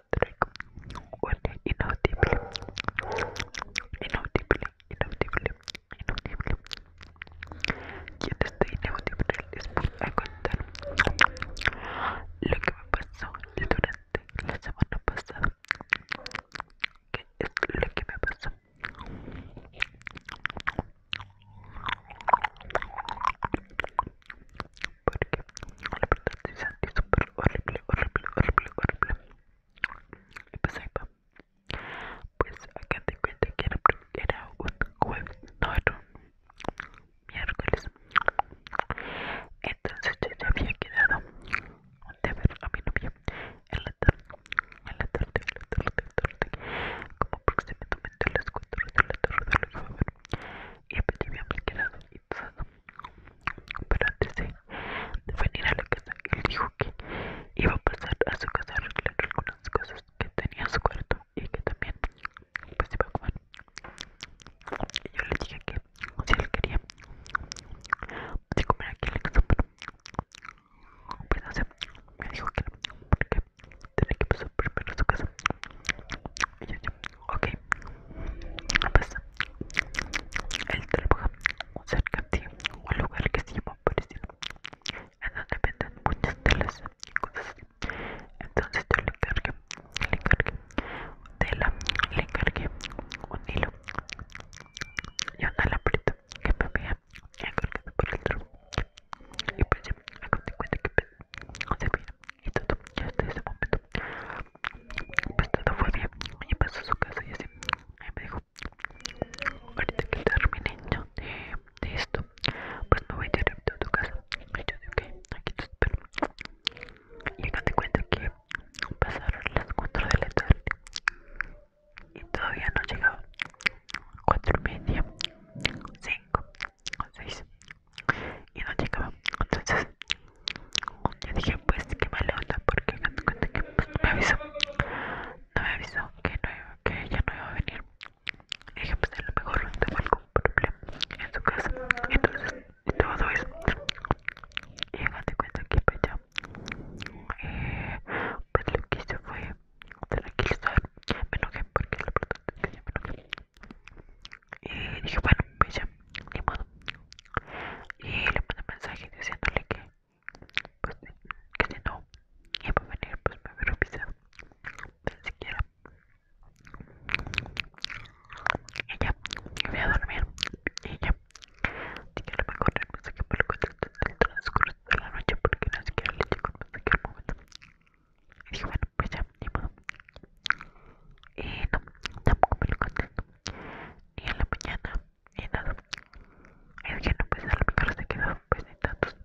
inaudible, inaudible, inaudible, inaudible. Y te estoy inaudible después voy a contar lo que me pasó durante la semana pasada. ¿Qué es lo que me pasó? Porque la verdad se sentí súper horrible, horrible, horrible, horrible. Y pues Pues acá te cuento que era, un jueves, no miércoles. Entonces yo ya había quedado a mi novia en la tarde, en la tarde, en la tarde, en la tarde, como aproximadamente a las 4 de la tarde Y ya quedado pero antes de, venir a la casa él dijo que iba a pasar a su casa a arreglar algunas cosas que tenía en su cuarto y que también pues, iba a comer y yo le dije que si él quería pues, comer aquí en la casa pero pues, no sé me dijo que no tenía que pasar primero a su casa y Ok, pues el trabaja cerca de un lugar que se llama Parecido, en donde venden muchas telas y cosas así. Entonces yo le encargué, le encargué tela, le encargué un hilo y una lambrita que me había encargado por el truco. Y pues ya me te cuenta que se veía y todo. ya hasta ese momento, pues todo fue bien. y pasó a su casa y así. Y me dijo: Ahorita que termine yo de, esto, pues me voy a ir a tu casa. Y yo dije: Ok, aquí te espero. Y acá te cuento que pasaron las 4 de la tarde y todavía no llegaba. 4 y media, 5 entonces y no llegaba entonces yo dije pues que mala onda porque me pues, me avisó no me avisó que, no, que ella no iba a venir dije pues a lo mejor no tengo algún problema en su casa entonces todo eso y de cuenta que pues ya eh, pues lo que hice fue tranquilizar me enojé porque lo importante es que yo me enojé y dije, bueno, pues ni modo. Y le mandé mensaje diciéndole que, pues, que si no iba a venir, pues me hubiera pisa Ni siquiera. Y ya, voy a dormir. Y ya, así que a lo mejor el mensaje me lo dentro en el transcurso de la noche porque no siquiera le llegó el mensaje al momento. Y bueno, pues ya, ni modo. Y no, tampoco me lo contento. Y en la mañana, ni nada. Y no, pues a lo mejor se quedó, pues ni tantos.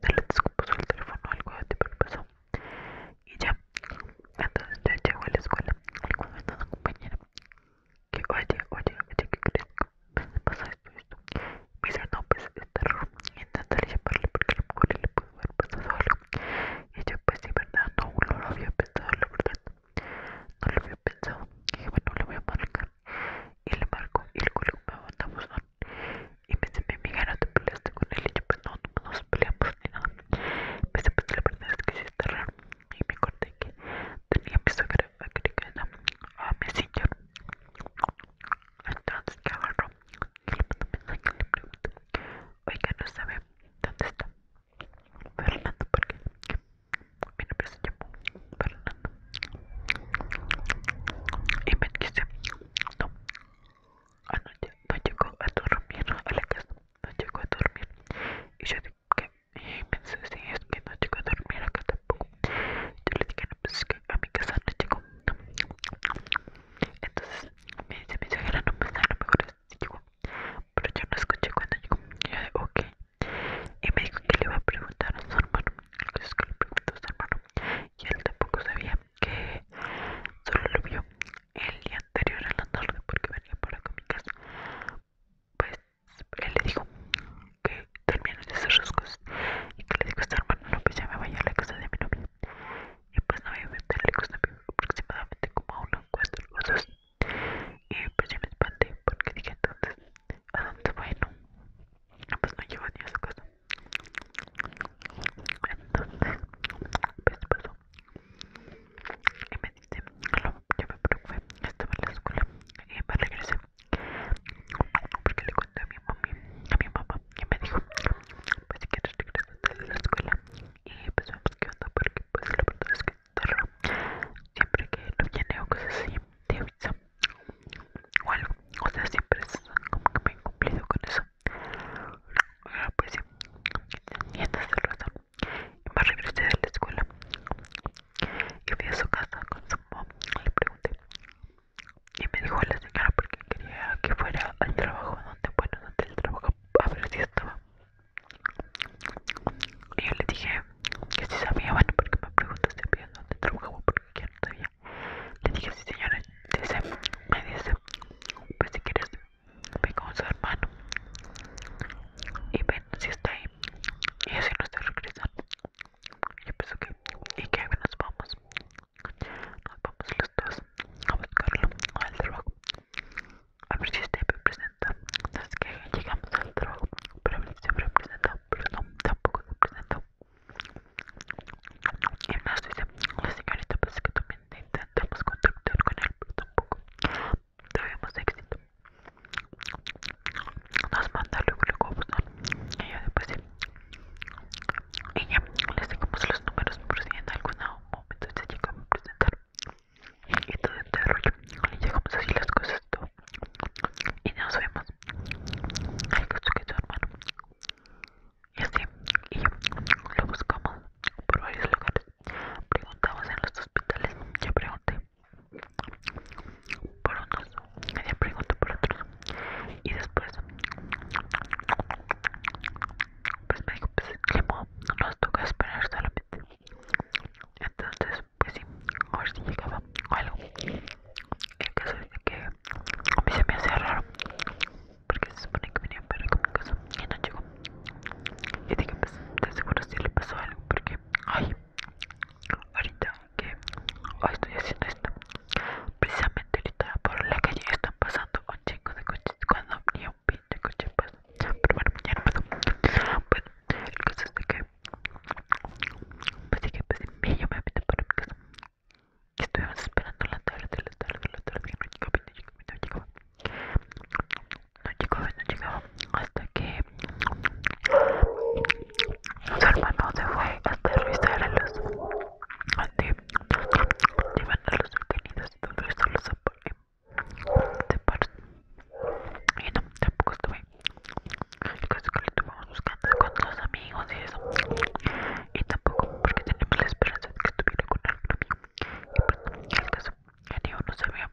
Se le descompuso el teléfono, algo de tipo le pasó. Y ya, entonces ya llego a la escuela. Y cuando está una compañera, que oye, oye, oye, ¿qué crees? Me pasa esto, esto mira no pues está intentaré llamarle porque a lo mejor le pudo haber pasado algo y yo pues de verdad no, no lo había pensado la verdad no lo había pensado y dije bueno lo voy a marcar y le marco y el luego me manda buzón y me dice mi amiga no te peleaste con él y yo pues no, no nos peleamos ni nada me a pensar, la verdad es que sí está raro y me corté que tenía mi suegra agregada a ah, mi Messenger entonces que agarró Oiga, no sabe dónde está Fernando porque mi nombre se llama Fernando y me dice no anoche ah, no llegó a dormir a la casa no llegó a dormir y yo dije que y pensé que no llegó a dormir acá tampoco yo le dije es pues, que a mi casa no llegó. Entonces me dice mi suegra, no, me a lo mejor Pero yo no escuché cuando llegó. Y yo de, ok. Y me dijo que le iba a preguntar a su hermano. Entonces que le preguntó a su hermano. Y él tampoco sabía que solo lo vio el día anterior a la tarde porque venía para acá a mi casa. Pues él le dijo que terminan sus rasgos y que le digo a esta hermana no pues ya me voy a la casa de mi novia y pues no voy a la casa de mí aproximadamente como a una cuatro o dos y pues ya me espanté porque dije entonces a dónde no, pues no llevo ni a su casa entonces pues pasó y me dice no, yo me preocupé estaba en la escuela y me regresé porque le conté a mi mami, a mi mamá, y me dijo, pues si quieres regresar de la escuela y pues vemos qué onda, porque pues la verdad es que siempre que lo viene o cosas así, te avisa o algo, o sea, siempre es como que me he cumplido con eso. Ahora pues si, y entonces razón, y me regresé de la escuela y fui a su casa con su mamá y le pregunté y me dijo la señora porque quería que fuera al trabajo donde bueno donde el trabajo a ver si estaba y yo le dije que si sabía bueno porque me preguntó si había dónde trabajaba porque ya no sabía le dije si señora dice me dice pues si quieres ven con su hermano y ven si está ahí y así no está regresando y yo y que nos vamos nos vamos los dos a buscarlo al trabajo a ver si este me Entonces que llegamos al trabajo pero siempre presentó pero no tampoco se presentó y nos dice la señorita pues que también intentamos contactar con él pero tampoco tuvimos éxito nos manda luego luego y yo después sí. y ya les dejamos los números por si en algún momento se llegan a presentar y todo este rollo le llegamos así las cosas todo y nos vemos al caso que tu hermano y así y yo lo buscamos por varios lugares preguntamos en los hospitales yo pregunté por unos, ella preguntó por otros y después pues me dijo pues no nos toca esperar solamente entonces pues sí a ver si llegaba o algo el caso es que a mí se me hace raro porque se supone que venía para mi casa y no llegó y dije pues de seguro si le pasó algo porque ay ahorita que estoy haciendo esto precisamente por la calle están pasando un de coches cuando ni un pinche coche pasa pero bueno el caso es que pues dije me meto para mi casa y estuvimos esperando la tarde la tarde la tarde no no hasta que su hermano se fue hasta revisar a los llevan a los detenidos y todo esto los separan y no tampoco estuve el caso que lo estuvimos buscando con los amigos y eso y tampoco porque teníamos la esperanza de que estuviera con algún amigo y pues el caso el ni uno sabía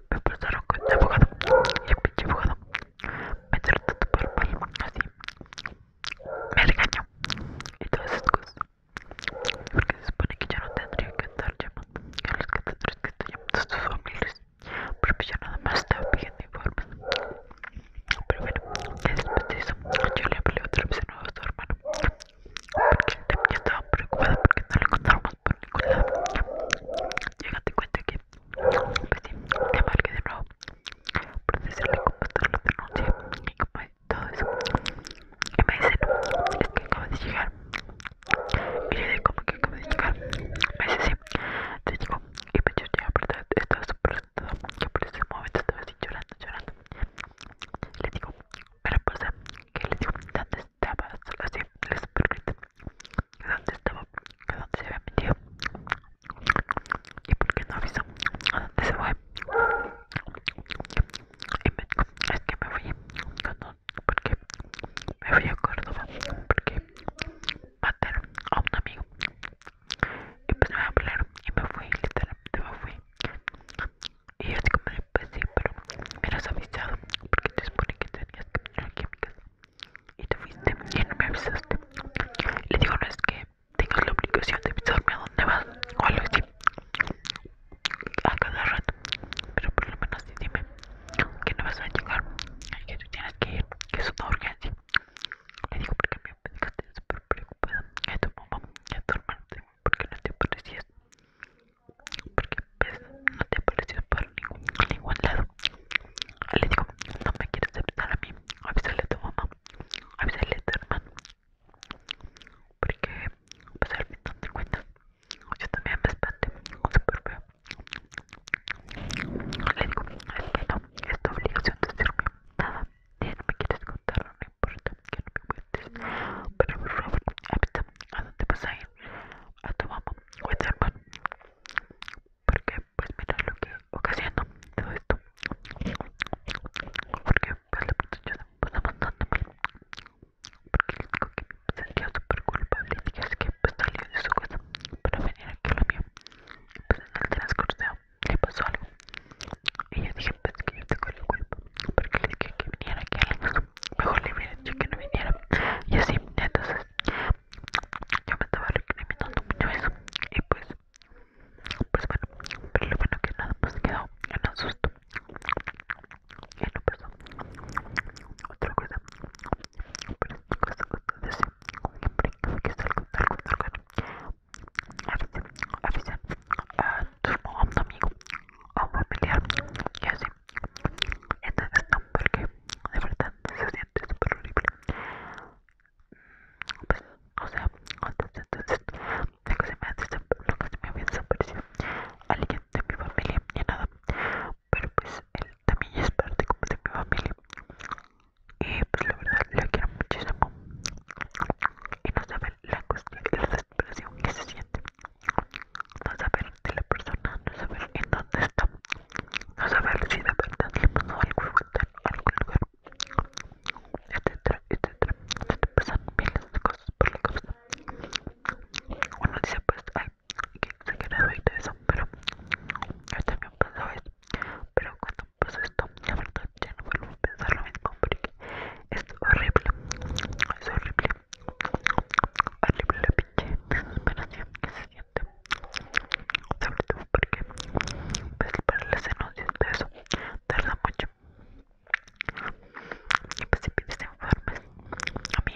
me pasaron con el este abogado y el pinche abogado me trató por mal, así, me engañó y todas esas cosas, porque se supone que ya no tendría que andar llamando a los catadores que están llamando a sus familias, porque pues ya nada más estaba pidiendo informes, pero bueno, ya después de eso, yo le hablé otra vez a tu hermano, porque el también estaba preocupado porque no le contaron por por mi cuenta. Llegate cuenta que, pues sí, te marqué de nuevo. Procesarle cómo están los denuncias y cómo hay todo eso. Y me dicen, es que acabas de llegar. Y yo digo, ¿cómo que acabas de llegar? Me dice, sí, te digo Y pues yo ya, verdad, estaba súper sentada. Que por ese momento estaba así llorando, llorando. Le digo, para pasa, pues, que le digo, ¿dónde estaba sola así, les pregunté dónde estaba, que dónde se había metido y por qué no avisó a dónde se fue. Y me dijo, es que me fui cuando, porque me fui a Córdoba, porque maté a un amigo. Y pues me hablar y me fui, literalmente me fui. Y yo así como de, pues pero me eras avisado porque te supone que tenías que venir aquí a y te fuiste y no me avisaste. Le digo, no es que tengas la obligación de avisarme a dónde vas o algo así a cada rato, pero por lo menos sí dime que no vas a llegar y que tú tienes que ir, que es una urgencia. Le digo, porque me dejaste súper preocupada, que tu mamá, te tu hermano, porque no te parecías porque no te ha parecido para ningún lado. Le digo, no me quieres aceptar a mí, avísale a tu mamá, avísale a tu hermano, porque pues al no te cuentas yo también me espanto, súper feo. Le digo, es que no, es tu obligación decirme nada, ni me quieres contar, no por importa que no me cuentes. Pero por favor, avítame a dónde vas a ir, a tu mamá o a tu hermano. Porque pues mira lo que ocasiona todo esto. Porque pues la puta pasa bastante mal. Porque le digo que me sentía súper culpable y dije que pues salió de su casa para venir aquí a lo mío. Pues en el transcurso le pasó algo. Y yo dije, pues que yo tengo el culpa. Porque le dije que viniera aquí. Mejor le hubiera dicho que no viniera. Y así, entonces, yo me estaba reclamando mucho eso. Y pues, pues bueno, pero lo bueno que nada, pues quedó en asusto. Y ya no pasó. Otra cosa. Pero esta cosa que como siempre que salgo, salgo, salgo. Avisen, avisa avisa entorno a un amigo o un familiar y así entonces no porque de verdad se siente súper horrible mm, pues o sea entonces entonces la que se me hace lo se me había desaparecido alguien de mi familia ni nada pero pues él también es parte como de mi familia y pues la verdad lo quiero muchísimo y no sabe la cuestión, respiración que se siente, no saber de la persona, no saber en dónde está, no saber si de verdad le pasó algo en algún lugar, etcétera, etcétera. Se este te pasan miles de cosas por la cabeza. Uno dice, pues, ay, que exagerado y todo eso, pero yo también pasaba esto. Pero cuando pasó esto, la verdad ya no vuelvo a pensar lo mismo porque es horrible, es horrible, horrible la pinche desesperación que se siente, sobre todo porque pues, para las denuncias de eso tarda mucho. Y pues si pides informes, a mí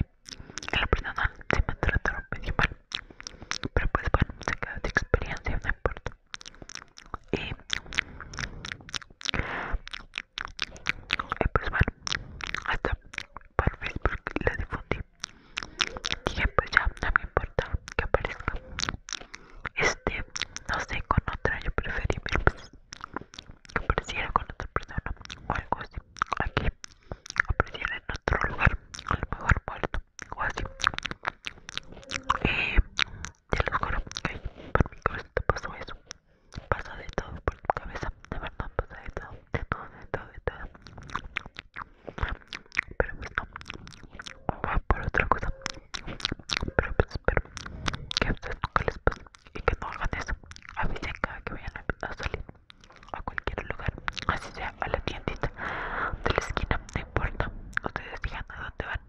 la persona se me trataron muy mal, pero pues bueno, se queda de experiencia, no importa y, pues bueno hasta por Facebook la difundí dije pues ya no me importa que aparezca este no sé con otra yo preferí pues que apareciera con otra persona o algo así aquí apareciera en otro lugar a lo mejor muerto o así eh, ya lo juro, que por mi cabeza pasó eso, pasa de todo por mi cabeza, de verdad pasa de todo, de todo, de todo, de todo, pero pues no, va por otra cosa, pero pues espero que a ustedes nunca les pase y que no hagan eso, avisen cada que vayan a salir a cualquier lugar, así sea a la tiendita de la esquina, no importa, ustedes fijan a dónde van,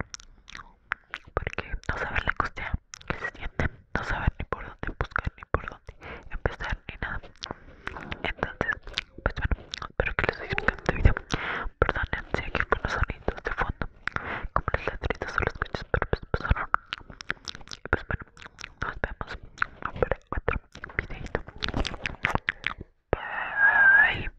porque no saben la angustia que se siente, no saben ni por dónde buscar, ni por dónde empezar, ni nada. Entonces, pues bueno, espero que les gustado este video. Perdonen si aquí algunos sonidos de fondo, como los ladridos o los coches, pero pues pasaron. Pues, y pues bueno, nos vemos para otro videito. Bye.